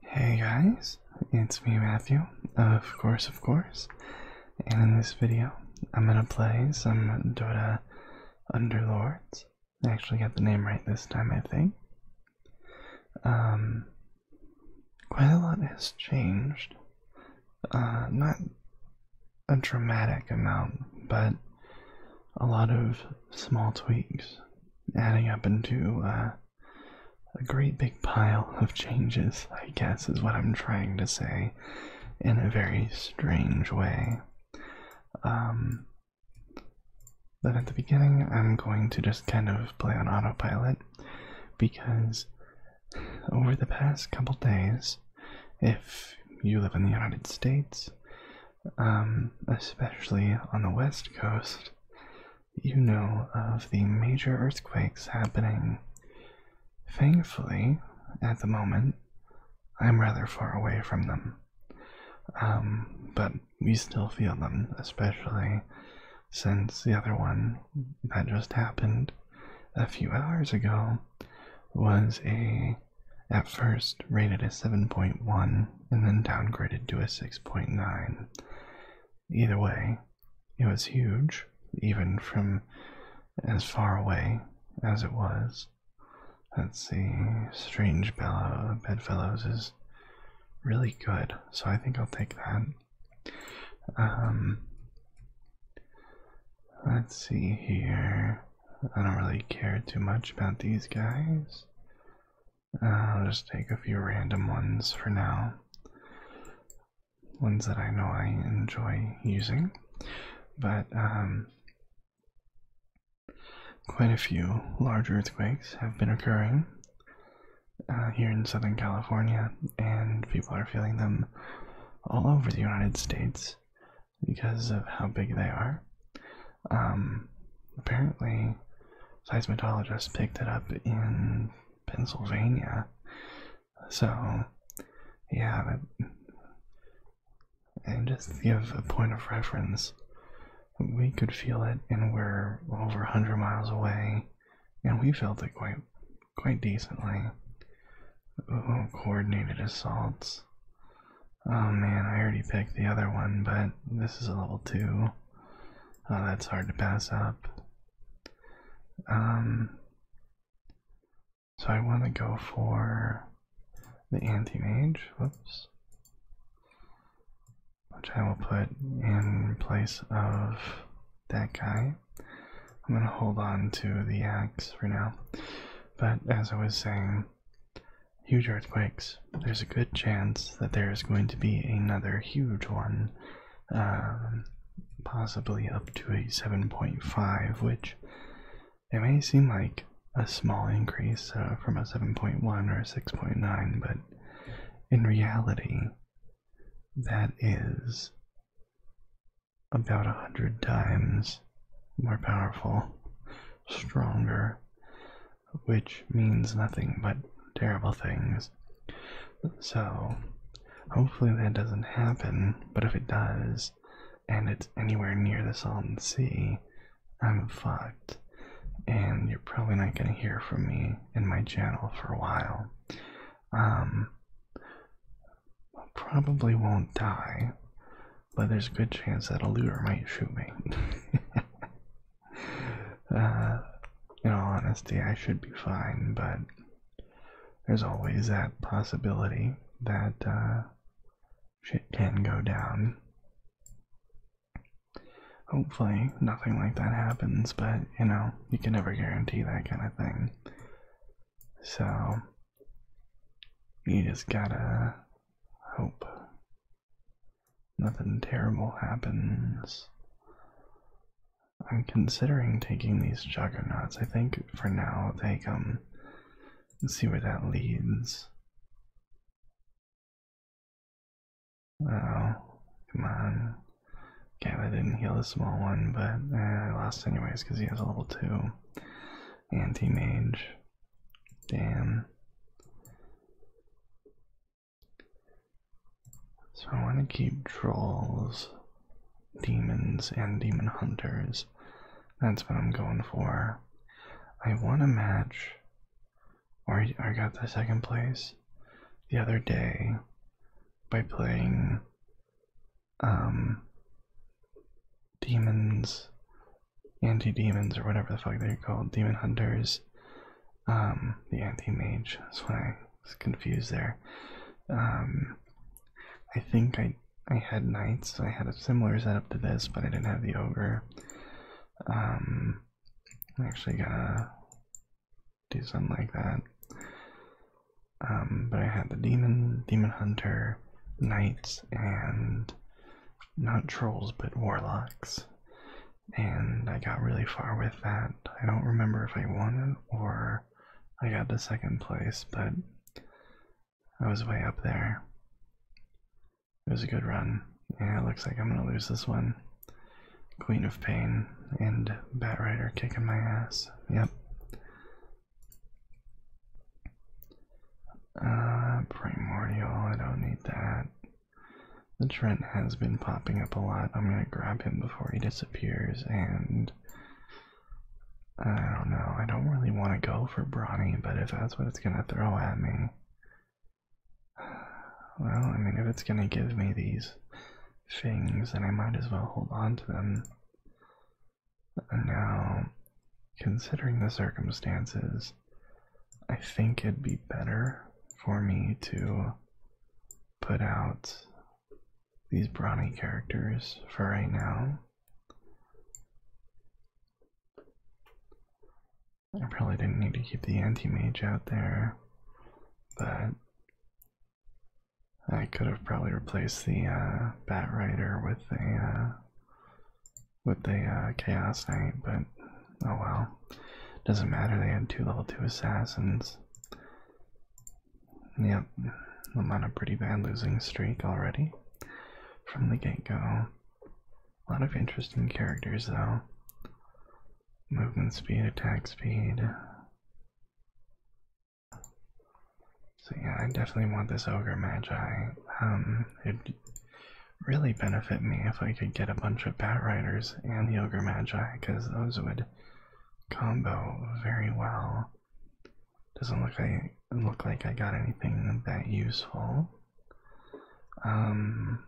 Hey guys, it's me Matthew, of course, of course, and in this video I'm gonna play some Dota Underlords. I actually got the name right this time, I think. Um, quite a lot has changed. Uh, not a dramatic amount, but a lot of small tweaks adding up into uh, a great big pile of changes, I guess, is what I'm trying to say in a very strange way. Um, but at the beginning, I'm going to just kind of play on autopilot because over the past couple days, if you live in the United States, um, especially on the west coast, you know of the major earthquakes happening. Thankfully, at the moment, I'm rather far away from them. Um, but we still feel them, especially since the other one that just happened a few hours ago was a, at first rated a 7.1 and then downgraded to a 6.9. Either way, it was huge, even from as far away as it was. Let's see, Strange Bedfellows is really good, so I think I'll take that. Um, let's see here. I don't really care too much about these guys. Uh, I'll just take a few random ones for now. Ones that I know I enjoy using, but um, quite a few large earthquakes have been occurring uh, here in Southern California, and people are feeling them all over the United States because of how big they are. Um, apparently, seismologists picked it up in Pennsylvania. So, yeah, and just give a point of reference, we could feel it, and we're over 100 miles away, and we felt it quite, quite decently. coordinated assaults. Oh man, I already picked the other one, but this is a level 2. Uh, that's hard to pass up. Um, so I want to go for the anti-mage, whoops, which I will put in place of that guy. I'm going to hold on to the axe for now. But as I was saying, huge earthquakes, there's a good chance that there is going to be another huge one, um, possibly up to a 7.5, which it may seem like a small increase uh, from a 7.1 or 6.9, but in reality, that is about a hundred times more powerful, stronger, which means nothing but terrible things. So, hopefully that doesn't happen, but if it does, and it's anywhere near the Salton Sea, I'm fucked. And you're probably not going to hear from me in my channel for a while. Um, probably won't die, but there's a good chance that a looter might shoot me. Uh, in all honesty, I should be fine, but there's always that possibility that uh, shit can go down. Hopefully, nothing like that happens, but you know, you can never guarantee that kind of thing. So, you just gotta hope. Nothing terrible happens. I'm considering taking these juggernauts. I think for now I'll take them and see where that leads. Oh, come on. Okay, I didn't heal the small one, but I eh, lost anyways because he has a level 2 anti mage. Damn. So I want to keep trolls, demons, and demon hunters. That's what I'm going for. I won a match, or I got the second place the other day by playing um, demons anti-demons or whatever the fuck they're called, demon hunters, um, the anti-mage. That's why I was confused there. Um, I think I I had knights. I had a similar setup to this, but I didn't have the ogre. I'm um, actually going to do something like that. but I had the demon, demon hunter, knights, and not trolls but warlocks. And I got really far with that. I don't remember if I won or I got to second place, but I was way up there. It was a good run. Yeah, it looks like I'm gonna lose this one. Queen of Pain and Bat Rider kicking my ass. Yep. Uh, Primordial, I don't need that. The Trent has been popping up a lot. I'm gonna grab him before he disappears, and I don't know. I don't really want to go for Brawny, but if that's what it's gonna throw at me, well, I mean, if it's gonna give me these things, then I might as well hold on to them. Now, considering the circumstances, I think it'd be better for me to put out these brownie characters for right now. I probably didn't need to keep the anti-mage out there, but I could have probably replaced the uh, Bat Rider with a uh, with the uh, Chaos Knight, but oh well. Doesn't matter, they had two level 2 assassins. Yep, I'm on a pretty bad losing streak already from the get go. A lot of interesting characters though. Movement speed, attack speed. So yeah, I definitely want this ogre magi. Um, it really benefit me if I could get a bunch of Bat Riders and the Ogre Magi, because those would combo very well. Doesn't look like look like I got anything that useful. Um,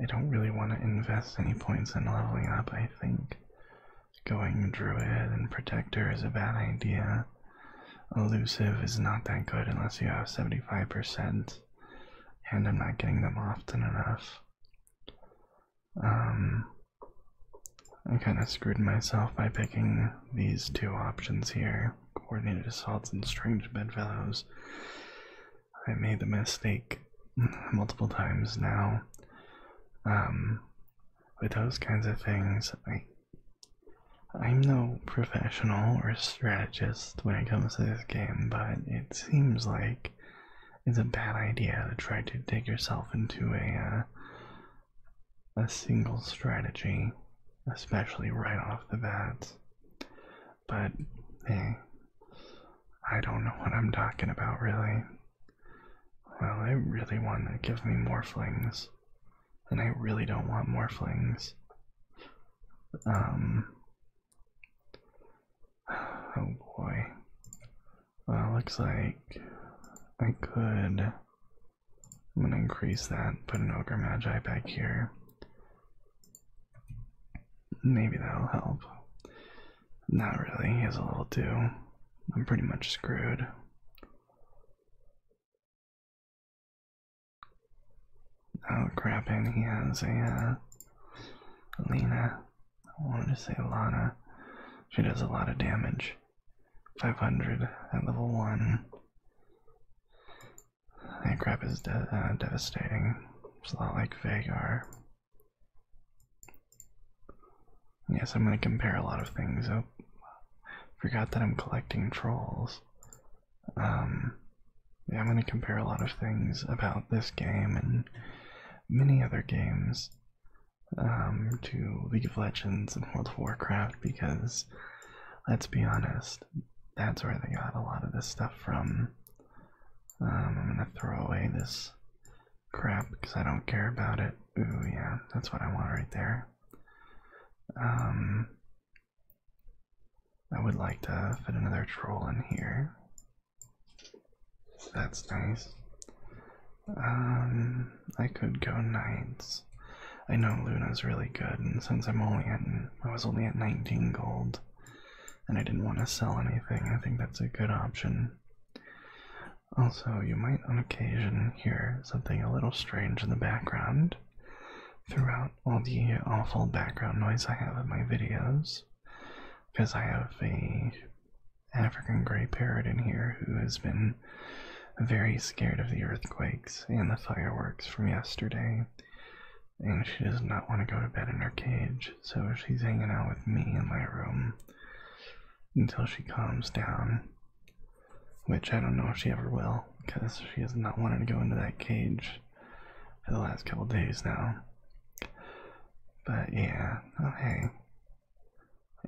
I don't really want to invest any points in leveling up. I think going Druid and Protector is a bad idea. Elusive is not that good unless you have 75% and I'm not getting them often enough. Um, I kind of screwed myself by picking these two options here coordinated assaults and strange bedfellows. I made the mistake multiple times now. Um, with those kinds of things, I, I'm no professional or strategist when it comes to this game, but it seems like it's a bad idea to try to dig yourself into a uh, a single strategy, especially right off the bat. But hey, I don't know what I'm talking about really. Well, I really want to give me more flings, and I really don't want more flings. Um, oh boy. Well, looks like I could. I'm gonna increase that, put an Ogre Magi back here. Maybe that'll help. Not really, he a little too. I'm pretty much screwed. Oh crap, and he has a, Alina. Uh, I wanted to say Lana. She does a lot of damage. 500 at level 1. That crap is uh, devastating. It's a lot like Vagar. Yes, I'm going to compare a lot of things. Oh, forgot that I'm collecting trolls. Um, I'm gonna compare a lot of things about this game and many other games um, to League of Legends and World of Warcraft because, let's be honest, that's where they got a lot of this stuff from. Um, I'm gonna throw away this crap because I don't care about it. Ooh, yeah, that's what I want right there. Um, I would like to fit another troll in here. that's nice. Um, I could go knights. I know Luna's really good, and since I'm only at, I was only at 19 gold, and I didn't want to sell anything, I think that's a good option. Also, you might on occasion hear something a little strange in the background throughout all the awful background noise I have in my videos because I have a African gray parrot in here who has been very scared of the earthquakes and the fireworks from yesterday. And she does not want to go to bed in her cage, so she's hanging out with me in my room until she calms down. Which I don't know if she ever will, because she has not wanted to go into that cage for the last couple days now. But yeah, okay. Oh,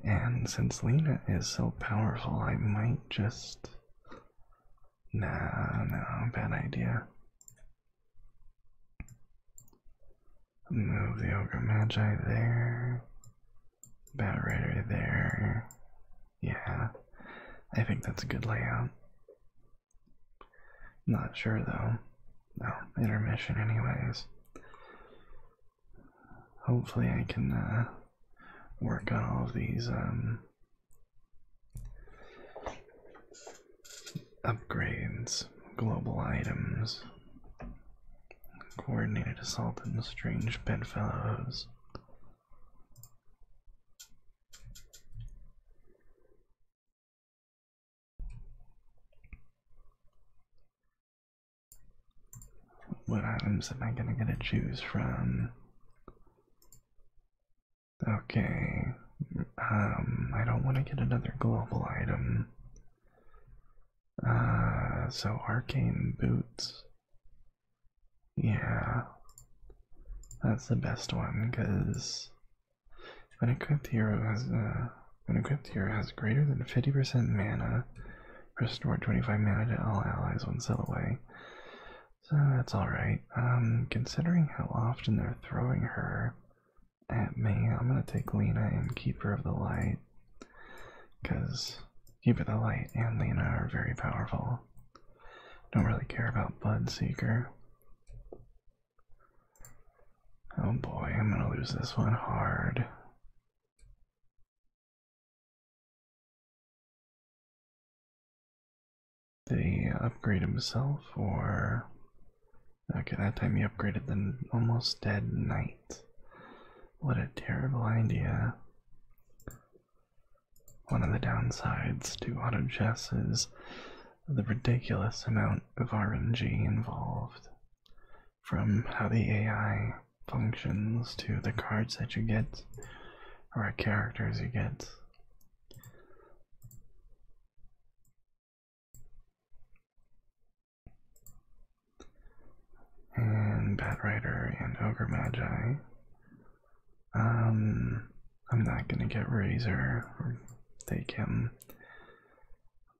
and since Lena is so powerful, I might just. Nah, no, bad idea. Move the Ogre Magi there. Bat Rider there. Yeah, I think that's a good layout. Not sure though. No, intermission, anyways. Hopefully, I can uh, work on all of these um, upgrades, global items, coordinated assault, and strange bedfellows. What items am I gonna get to choose from? Okay, um, I don't want to get another global item. Uh, so arcane boots. Yeah. That's the best one, because an equipped hero has uh, an equipped hero has greater than 50% mana. Restore 25 mana to all allies one cell away. So that's alright. Um, considering how often they're throwing her at me, I'm gonna take Lena and Keeper of the Light. Because Keeper of the Light and Lena are very powerful. Don't really care about Bloodseeker. Oh boy, I'm gonna lose this one hard. They upgrade himself or. Okay, that time he upgraded the almost dead knight. What a terrible idea. One of the downsides to auto chess is the ridiculous amount of RNG involved. From how the AI functions to the cards that you get or characters you get. And Bat and Ogre Magi um, I'm not gonna get Razor or take him.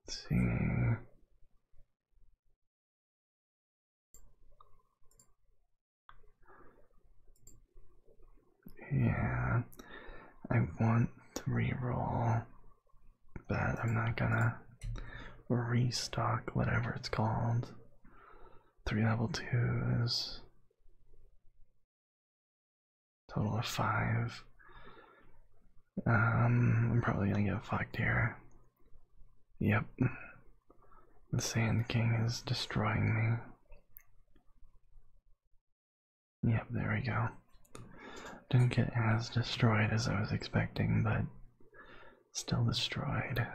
Let's see. Yeah, I want three roll, but I'm not gonna restock whatever it's called. Three level two is. Total of five. Um, I'm probably gonna get fucked here. Yep. The Sand King is destroying me. Yep, there we go. Didn't get as destroyed as I was expecting, but still destroyed.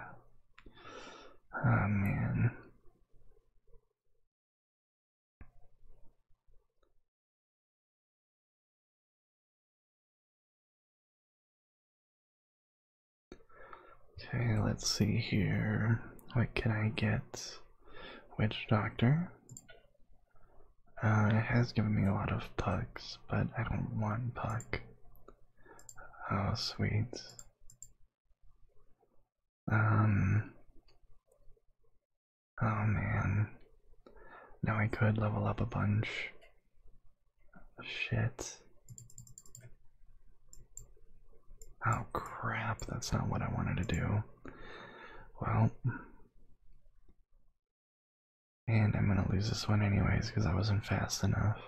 Oh man. Okay, let's see here. What can I get? Witch Doctor. Uh, it has given me a lot of pucks, but I don't want puck. Oh, sweet. Um. Oh man. Now I could level up a bunch. Shit. Oh crap, that's not what I wanted to do. Well. And I'm gonna lose this one anyways because I wasn't fast enough.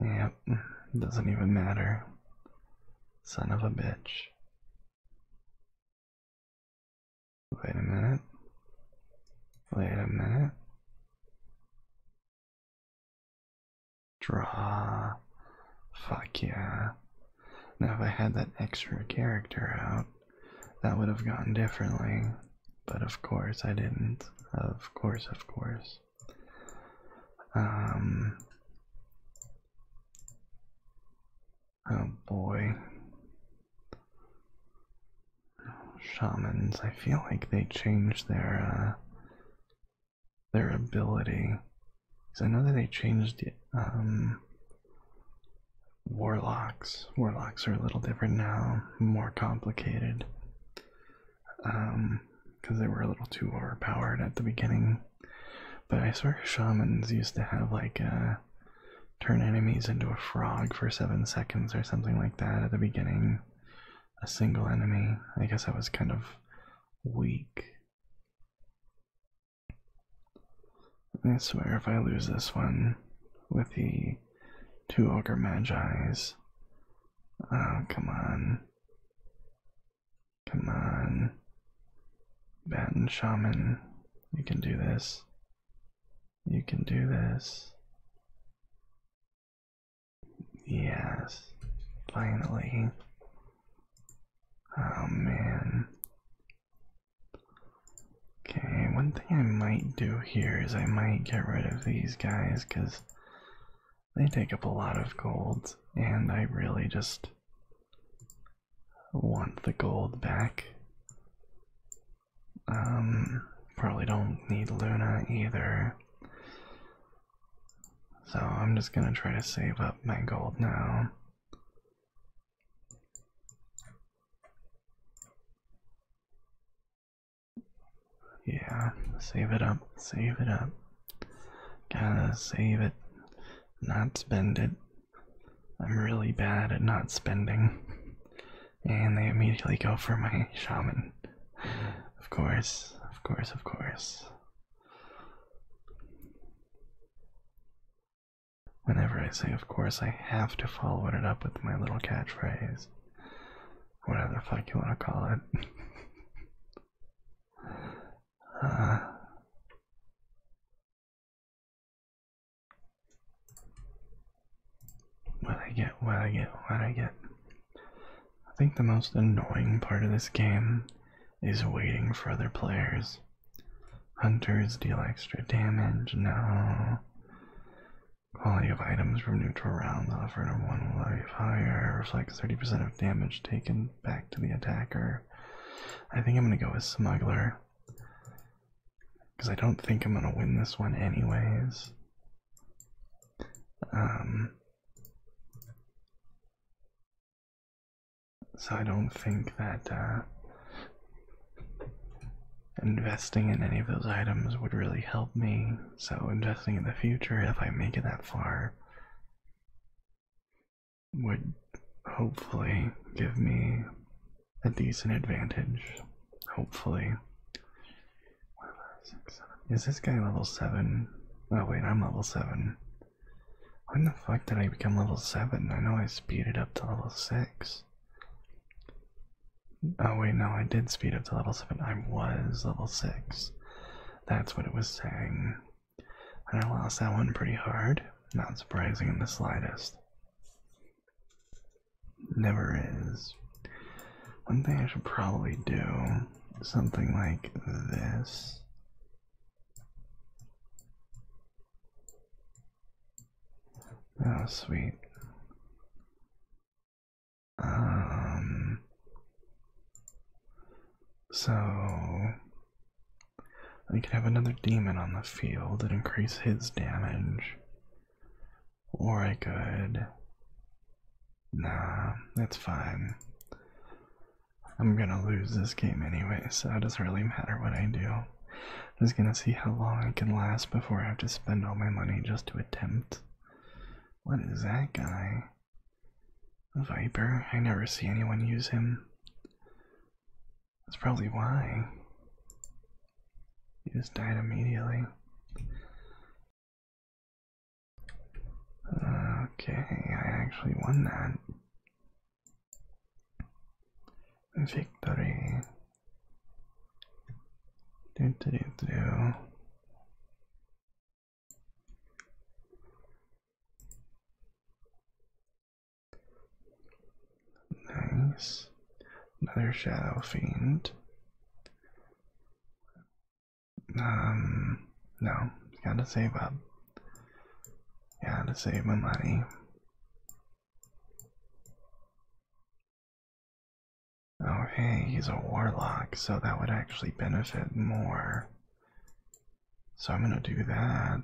Yep, doesn't even matter. Son of a bitch. Wait a minute. Wait a minute. Draw. Fuck yeah. Now, if I had that extra character out, that would have gone differently but of course I didn't. Of course, of course. Um. Oh boy. Shamans, I feel like they changed their uh, their ability. Cause I know that they changed um, warlocks. Warlocks are a little different now, more complicated um, because they were a little too overpowered at the beginning. But I swear shamans used to have like uh, turn enemies into a frog for seven seconds or something like that at the beginning. A single enemy. I guess I was kind of weak. I swear if I lose this one with the Two Ogre Magi's. Oh, come on. Come on. Baton Shaman. You can do this. You can do this. Yes. Finally. Oh man. Okay, one I might do here is I might get rid of these guys because they take up a lot of gold, and I really just want the gold back. Um, probably don't need Luna either. So I'm just gonna try to save up my gold now. Yeah, save it up, save it up. Gotta save it, not spend it. I'm really bad at not spending. And they immediately go for my shaman. Of course, of course, of course. Whenever I say of course, I have to follow it up with my little catchphrase whatever the fuck you want to call it. Uh, what I get, what I get, what I get. I think the most annoying part of this game is waiting for other players. Hunters deal extra damage, no. Quality of items from neutral rounds offered are one life higher, reflects 30% of damage taken back to the attacker. I think I'm gonna go with Smuggler. Because I don't think I'm gonna win this one, anyways. Um. So I don't think that uh, investing in any of those items would really help me. So, investing in the future, if I make it that far, would hopefully give me a decent advantage. Hopefully. Is this guy level 7? Oh, wait, I'm level 7. When the fuck did I become level 7? I know I speeded up to level 6. Oh wait, no, I did speed up to level 7. I was level 6. That's what it was saying. And I lost that one pretty hard. Not surprising in the slightest. Never is. One thing I should probably do, something like this. Oh, sweet. Um, so I could have another demon on the field and increase his damage. Or I could. Nah, that's fine. I'm gonna lose this game anyway, so it doesn't really matter what I do. I'm just gonna see how long I can last before I have to spend all my money just to attempt what is that guy? A viper? I never see anyone use him. That's probably why. He just died immediately. Okay, I actually won that. Victory. Do, do, do, do. Nice. Another shadow fiend. Um, no, gotta save up. Gotta save my money. Oh, hey, he's a warlock, so that would actually benefit more. So I'm gonna do that.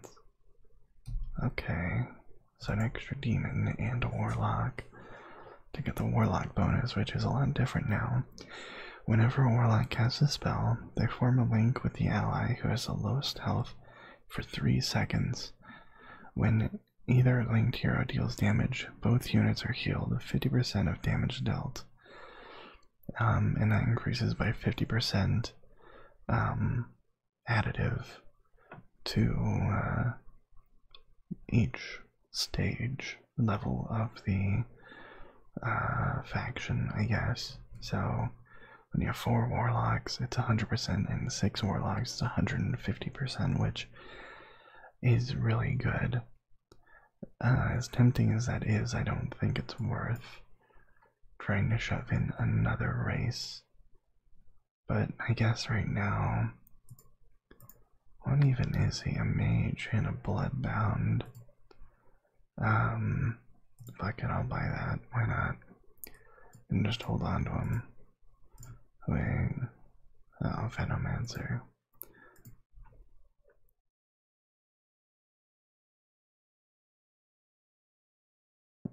Okay, so an extra demon and a warlock to get the warlock bonus, which is a lot different now. Whenever a warlock casts a spell, they form a link with the ally who has the lowest health for three seconds. When either linked hero deals damage, both units are healed 50% of damage dealt. Um, and that increases by 50% um, additive to uh, each stage level of the uh, faction, I guess. So when you have four warlocks, it's 100%, and six warlocks, it's 150%, which is really good. Uh, as tempting as that is, I don't think it's worth trying to shove in another race. But I guess right now, what even is he? A mage and a blood bound. Um, fuck it, I'll buy that. Why not? And just hold on to him. I Wait. Oh, Venomancer.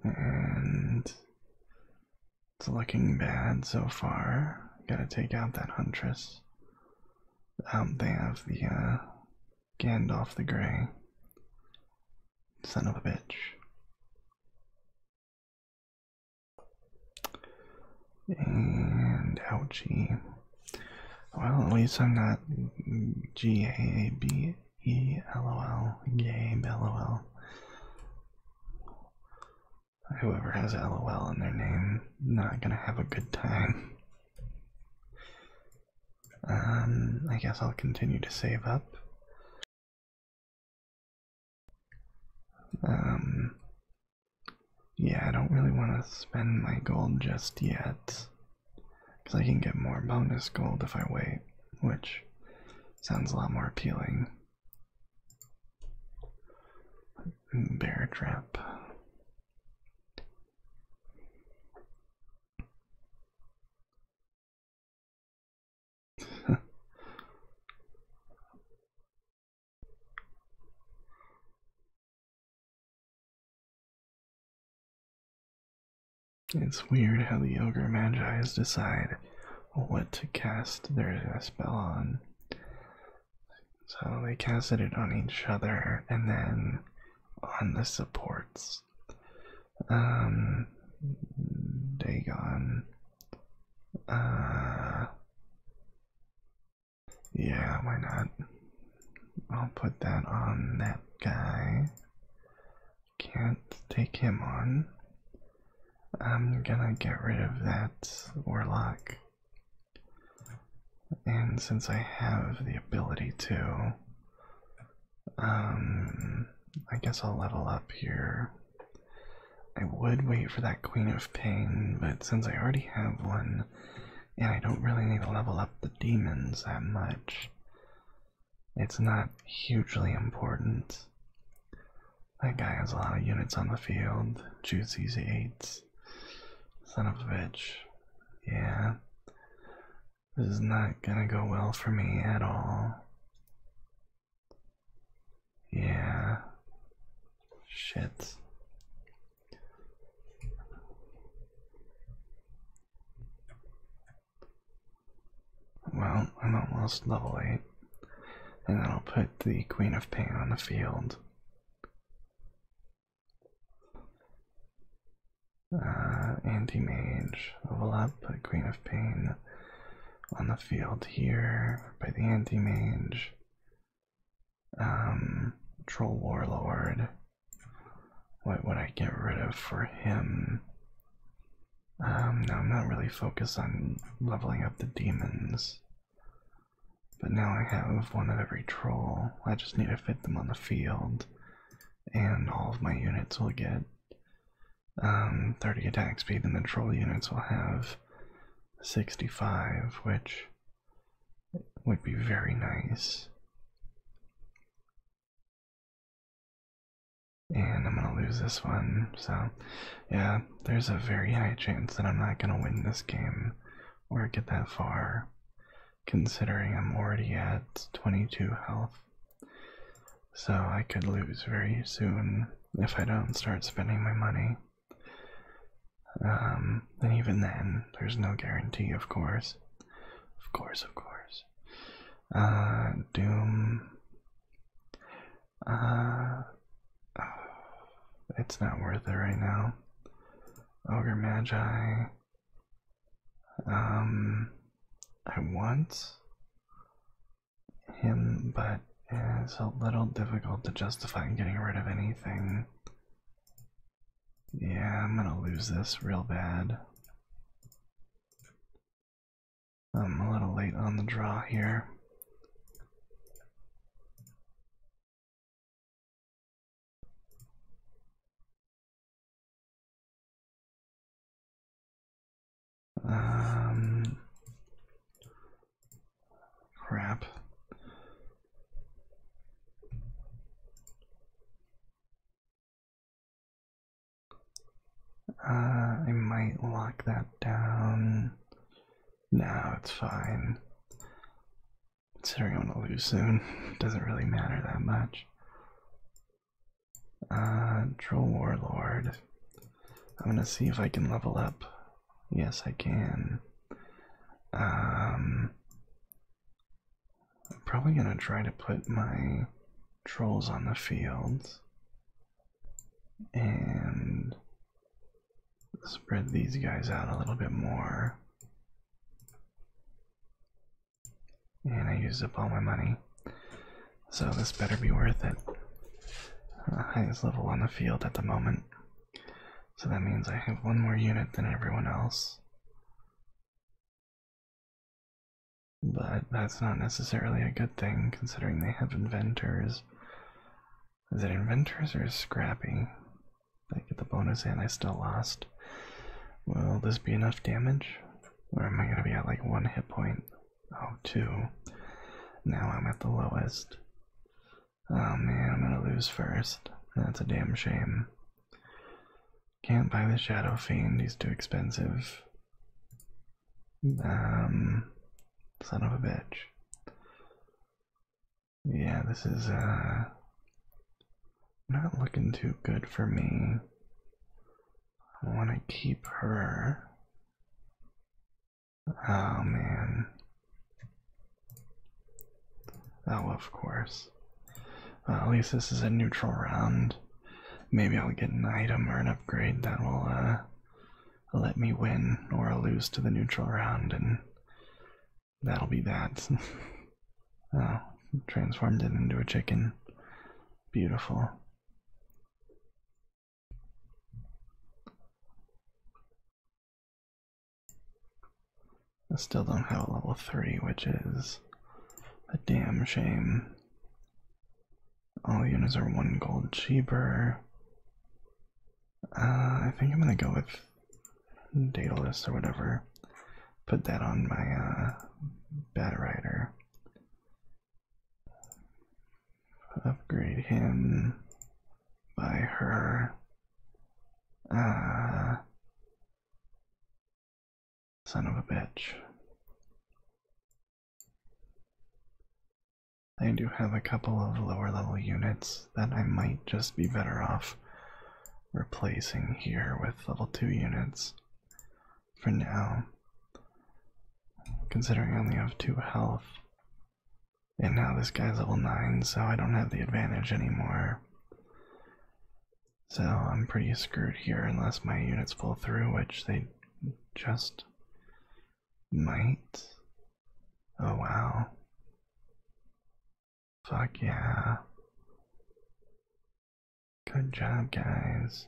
And it's looking bad so far. Gotta take out that Huntress. Um, they have the uh, Gandalf the Grey. Son of a bitch. And ouchie. Well, at least I'm not G A A B E L O L. Gabe L O L. Whoever has LOL in their name, not gonna have a good time. Um, I guess I'll continue to save up. Um, yeah, I don't really want to spend my gold just yet. Because I can get more bonus gold if I wait, which sounds a lot more appealing. Bear trap. It's weird how the Ogre Magi's decide what to cast their spell on. So they cast it on each other and then on the supports. Um, Dagon. Uh, yeah, why not? I'll put that on that guy. Can't take him on. I'm gonna get rid of that warlock. And since I have the ability to, um, I guess I'll level up here I would wait for that Queen of Pain, but since I already have one, and I don't really need to level up the demons that much, it's not hugely important. That guy has a lot of units on the field. Juicy's eight. Son of a bitch. Yeah. This is not gonna go well for me at all. Yeah. Shit. Well, I'm almost level 8, and then I'll put the Queen of Pain on the field. Uh, anti-mage, overlap the Queen of Pain on the field here by the anti-mage. Um, Troll Warlord. What would I get rid of for him? Um, no, I'm not really focused on leveling up the demons. But now I have one of every troll. I just need to fit them on the field. And all of my units will get um, 30 attack speed, and the troll units will have 65, which would be very nice. And I'm gonna lose this one, so yeah, there's a very high chance that I'm not gonna win this game or get that far, considering I'm already at 22 health. So I could lose very soon if I don't start spending my money and um, even then, there's no guarantee, of course. Of course, of course. Uh, Doom. Uh, it's not worth it right now. Ogre Magi. Um, I want him, but it's a little difficult to justify getting rid of anything. Yeah, I'm gonna lose this real bad. I'm a little late on the draw here. Um, Crap. Uh, I might lock that down. No, it's fine. Considering I'm gonna lose soon, it doesn't really matter that much. Uh, Troll Warlord. I'm gonna see if I can level up Yes, I can. Um, I'm probably gonna try to put my trolls on the field and spread these guys out a little bit more. And I used up all my money. So this better be worth it. Uh, highest level on the field at the moment. So that means I have one more unit than everyone else. But that's not necessarily a good thing considering they have inventors. Is it inventors or scrappy? I get the bonus and I still lost. Will this be enough damage? Or am I going to be at like one hit point? Oh, two. Now I'm at the lowest. Oh man, I'm gonna lose first. That's a damn shame. Can't buy the Shadow Fiend, he's too expensive. Um, son of a bitch. Yeah, this is, uh, not looking too good for me. I want to keep her. Oh man. Oh, of course. at least this is a neutral round. Maybe I'll get an item or an upgrade that will uh, let me win or lose to the neutral round, and that'll be that. oh, transformed it into a chicken. Beautiful. I still don't have a level 3, which is a damn shame. All units are one gold cheaper. Uh, I think I'm gonna go with Datalist or whatever. Put that on my uh, Batrider upgrade him, by her. Uh, son of a bitch. I do have a couple of lower level units that I might just be better off replacing here with level 2 units for now. Considering I only have 2 health, and now this guy's level 9, so I don't have the advantage anymore. So I'm pretty screwed here unless my units pull through, which they just might. Oh wow. Fuck yeah. Good job, guys.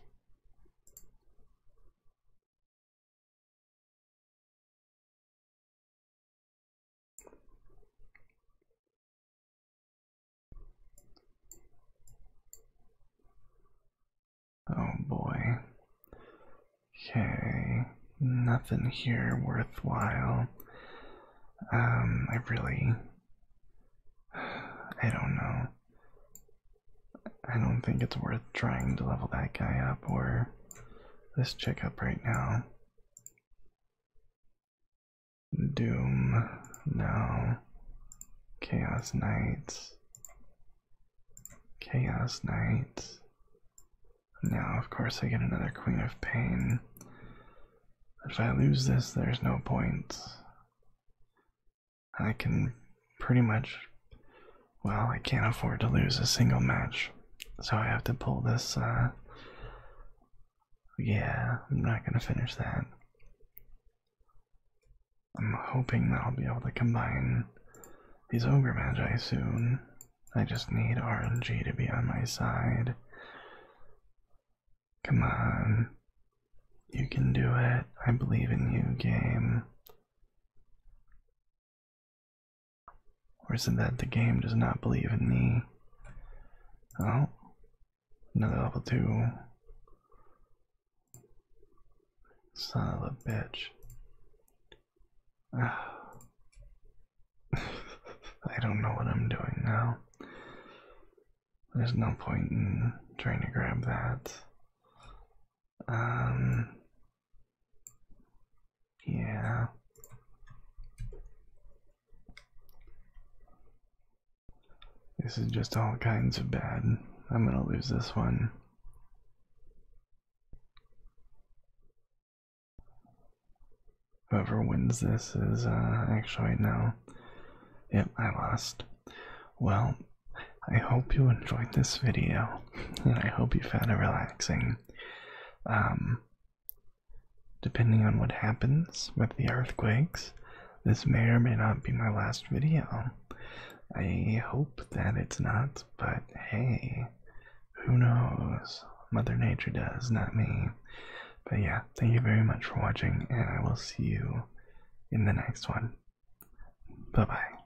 Oh boy. Okay, nothing here worthwhile. Um, I really. I don't know. I don't think it's worth trying to level that guy up or this chick up right now. Doom, no. Chaos Knights. Chaos Knights. Now, of course, I get another Queen of Pain. If I lose this, there's no point. I can pretty much, well, I can't afford to lose a single match, so I have to pull this. Uh, yeah, I'm not gonna finish that. I'm hoping that I'll be able to combine these ogre magi soon. I just need RNG to be on my side. Come on. You can do it. I believe in you, game. Or is it that the game does not believe in me? Oh, another level two. Son of a bitch. Ah. I don't know what I'm doing now. There's no point in trying to grab that. Um, yeah. This is just all kinds of bad. I'm gonna lose this one. Whoever wins this is uh, actually no. Yep, I lost. Well, I hope you enjoyed this video, and I hope you found it relaxing. Um, depending on what happens with the earthquakes, this may or may not be my last video. I hope that it's not, but hey, who knows? Mother Nature does, not me. But yeah, thank you very much for watching, and I will see you in the next one. Bye bye.